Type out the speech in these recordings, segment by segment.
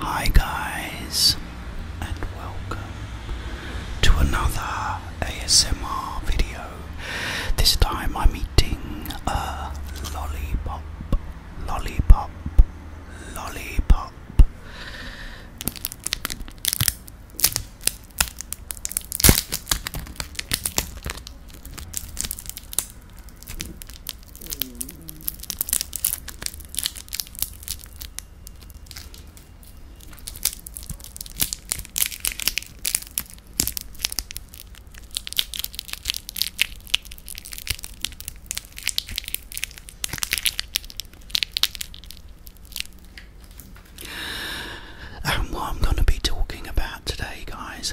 Hi, guys, and welcome to another ASMR video. This time I'm eating a lollipop, lollipop, lollipop. And what I'm going to be talking about today, guys,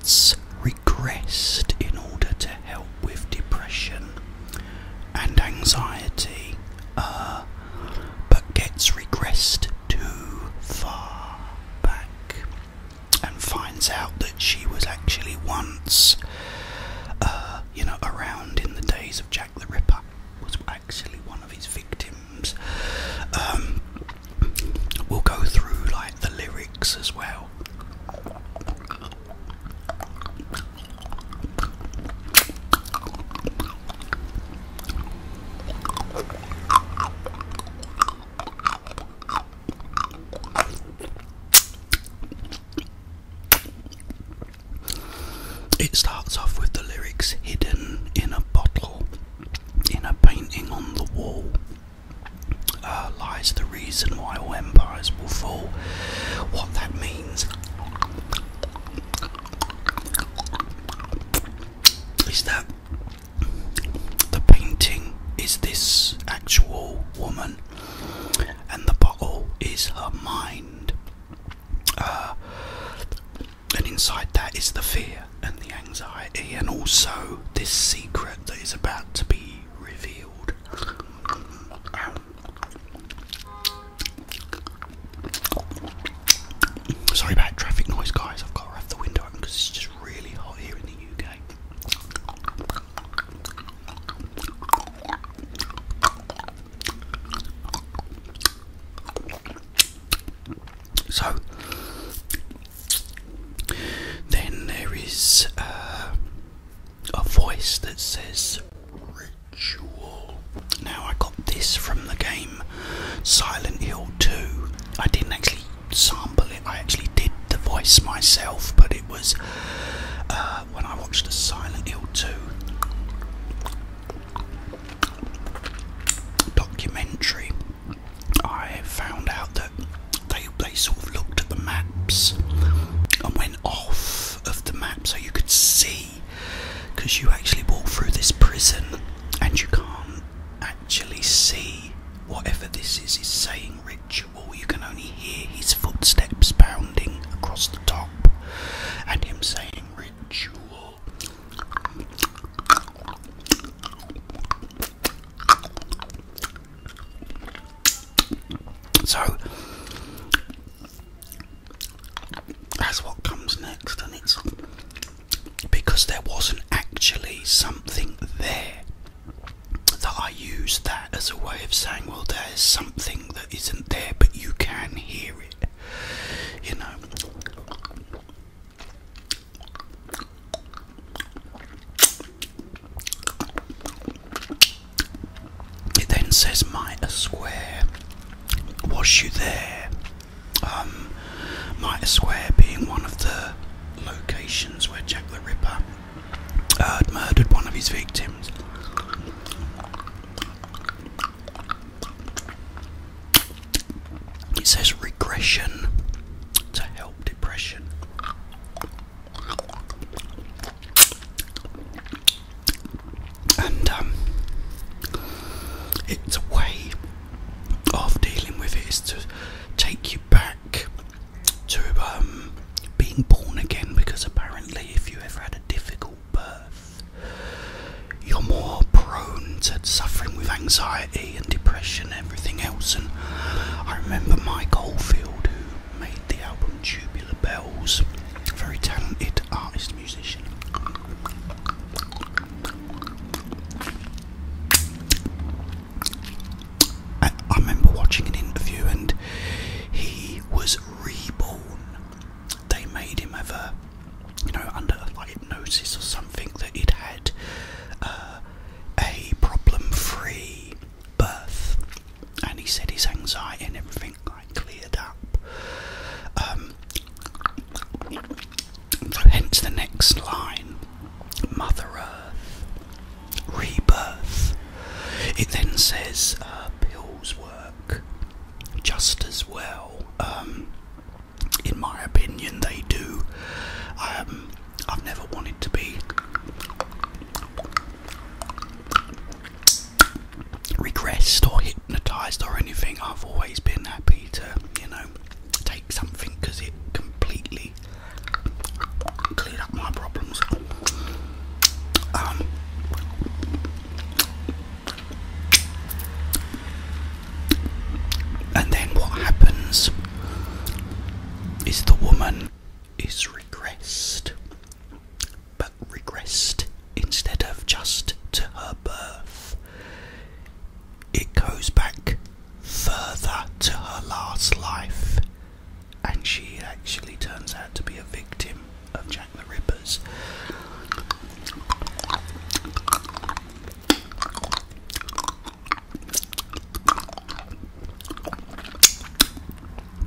rates regressed in order to help with depression and anxiety, uh, but gets regressed too far back and finds out that she was actually once, uh, you know, around in the days of Jack the Ripper, was actually one of his victims. Um, We'll go through like the lyrics as well. It starts off with the lyrics hidden in a bottle, in a painting on the wall, uh, lies the reason why all empires will fall. What that means is that the painting is this actual woman, and the bottle is her mind. Uh, and inside that is the fear and the anxiety, and also this secret that is about to be revealed. Sorry about traffic noise, guys. I've got to have the window open because it's just really hot here in the UK. So, then there is uh, a voice that says ritual. Now I got this from the game Silent Hill 2. I didn't actually sample it, I actually did the voice myself, but it was uh, when I watched the Silent Hill 2 documentary I found out that they they sort of looked at the maps and went off of the map so you could see because you actually walk through this prison and you can't actually see whatever this is is saying ritual you can only hear his footsteps pounding across the top and him saying ritual so that's what comes next, and it's because there wasn't actually something there that I used that as a way of saying, well, there's something that isn't there, but you can hear it, you know. It then says mitre square. Was you there? Um, square being one of the locations where Jack the Ripper had uh, murdered one of his victims. It says regression to help depression. And um, it's a way of dealing with it is to take you back to um, being born again because apparently, if you ever had a difficult birth, you're more prone to suffering with anxiety and depression and everything else. And I remember Mike Oldfield, who made the album Tubular Bells, very talented artist, musician. I, remember watching an interview and he was reborn. They made him ever you know, under hypnosis or something, that it had uh, a problem-free birth, and he said his anxiety and everything like cleared up. Um, hence the next line, Mother Earth, rebirth. It then says uh, pills were just as well. Um, in my opinion, they do. Um, I've never wanted to be regressed or hypnotized or anything. I've always been happy to, you know, take something because it completely cleared up my problems. Um, and then what happens is the woman is regressed, but regressed instead of just to her birth, it goes back further to her last life, and she actually turns out to be a victim of Jack the Rippers.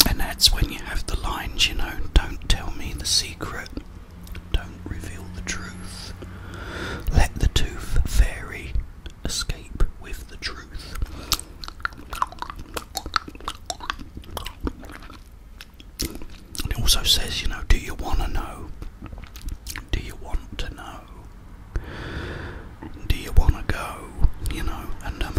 And that's when you have the lines, you know, don't tell me the secret, don't reveal the truth, let the tooth fairy escape with the truth it also says, you know, do you want to know? Do you want to know? Do you want to go? You know, and um,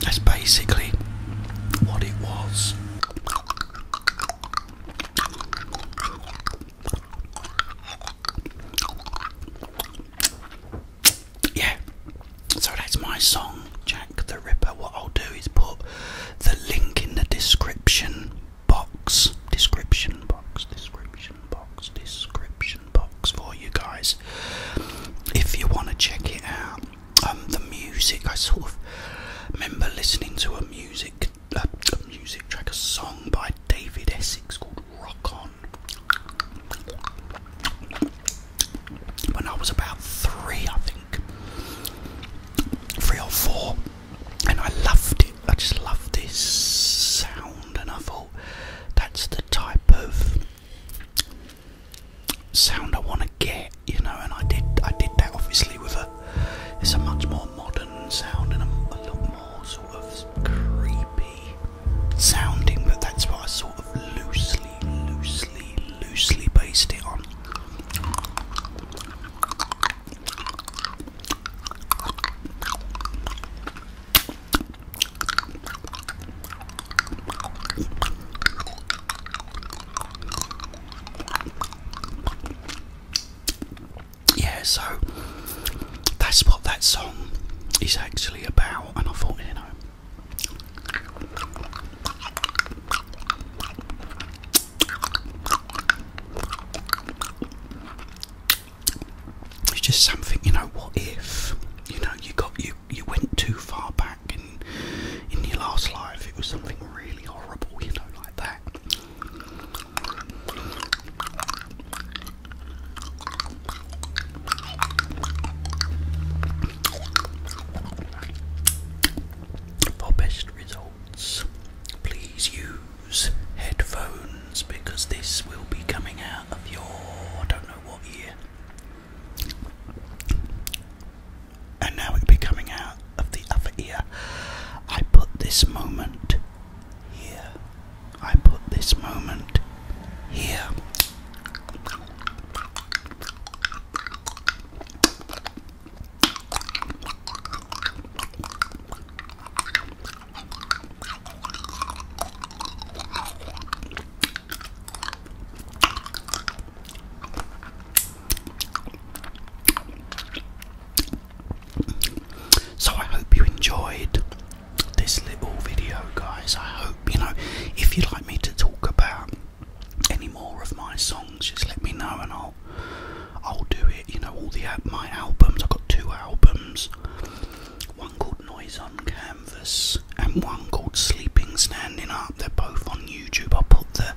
that's basically what it was. Yeah, so that's my song, Jack the Ripper. What I'll do is put the link in the description box, description box, description box, description box for you guys if you want to check it out. Um, the music, I sort of remember listening to a music a, music track, a song by David Essex called Rock On. When I was about three, I think, three or four, and I loved it. I just loved this sound, and I thought that's the type of sound I want to get, you know. And I did, I did that obviously with a it's a much more modern sound and a, a lot more sort of creepy sounding, but that's what I sort of loosely, loosely, loosely based it on yeah, so that's what that song is actually about, and I thought, you know. It's just something, you know. What if, you know, you got you you went too far back in in your last life? It was something really horrible, you know, like that. For best results, please use headphones because this will be coming out of your don't know what ear and now it'll be coming out of the other ear. I put this moment here. I put this moment here. So I hope you enjoyed this little video, guys. I hope you know if you'd like me to talk about any more of my songs, just let me know and I'll I'll do it. You know, all the my albums. I've got two albums. One called Noise on Canvas and one called Sleeping Standing Up. They're both on YouTube. I'll put the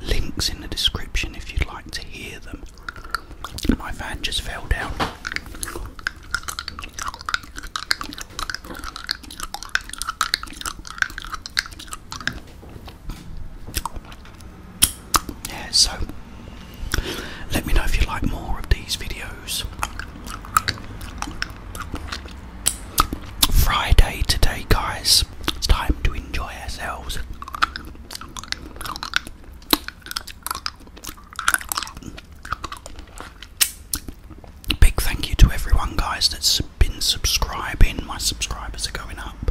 Links in the description if you'd like to hear them. My van just fell down. Yeah, so let me know if you like more of these videos. Friday today, guys. It's time to enjoy ourselves. Big thank you to everyone, guys, that's been subscribing. My subscribers are going up.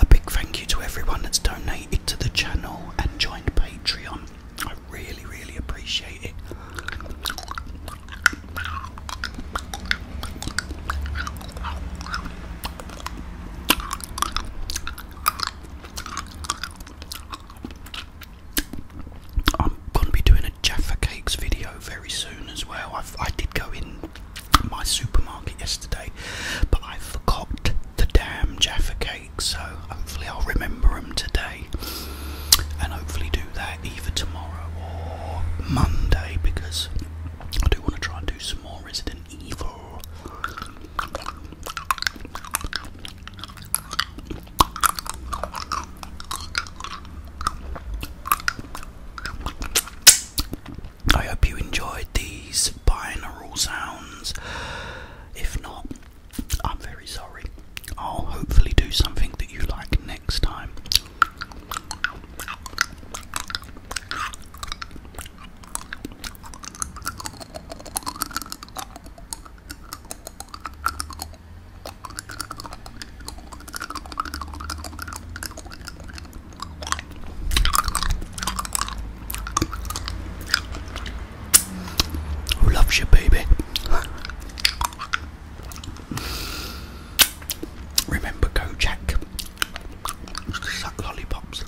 A big thank you to everyone that's donated to the channel and joined Patreon. I really, really appreciate it. I'm gonna be doing a Jaffa Cakes video very soon as well. i did go in my supermarket yesterday, but I forgot the damn Jaffa Cakes, so hopefully I'll remember them today and hopefully do that either tomorrow or Monday because I do want to try and do some more Resident Evil. I hope you enjoyed these binaural sounds. If not, I'm very sorry. I'll hopefully do something that you like next time. Who loves you, baby? Remember Kojak? Suck lollipops.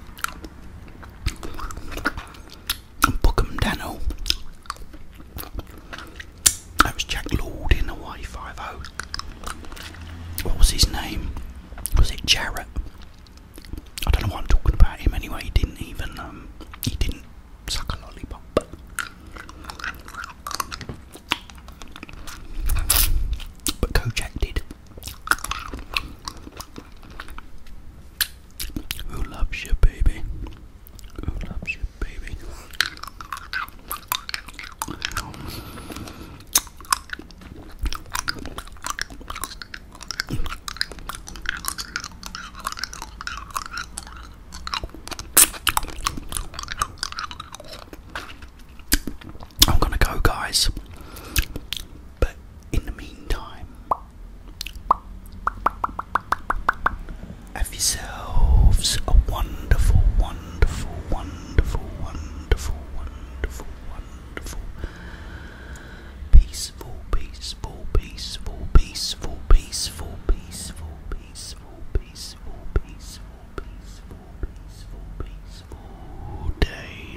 And That was Jack Lord in the 50 What was his name? Was it Jarrett? I don't know why I'm talking about him anyway. He didn't even um, he didn't suck a lollipop. But Kojak did. Who loves you, baby? Who loves you, baby? I'm gonna go, guys. But in the meantime, have yourselves a wonderful, wonderful, wonderful, wonderful, wonderful, wonderful, peaceful, peaceful, peaceful, peaceful, peaceful, peaceful, peaceful, peaceful, peaceful, peaceful, peaceful, peaceful day.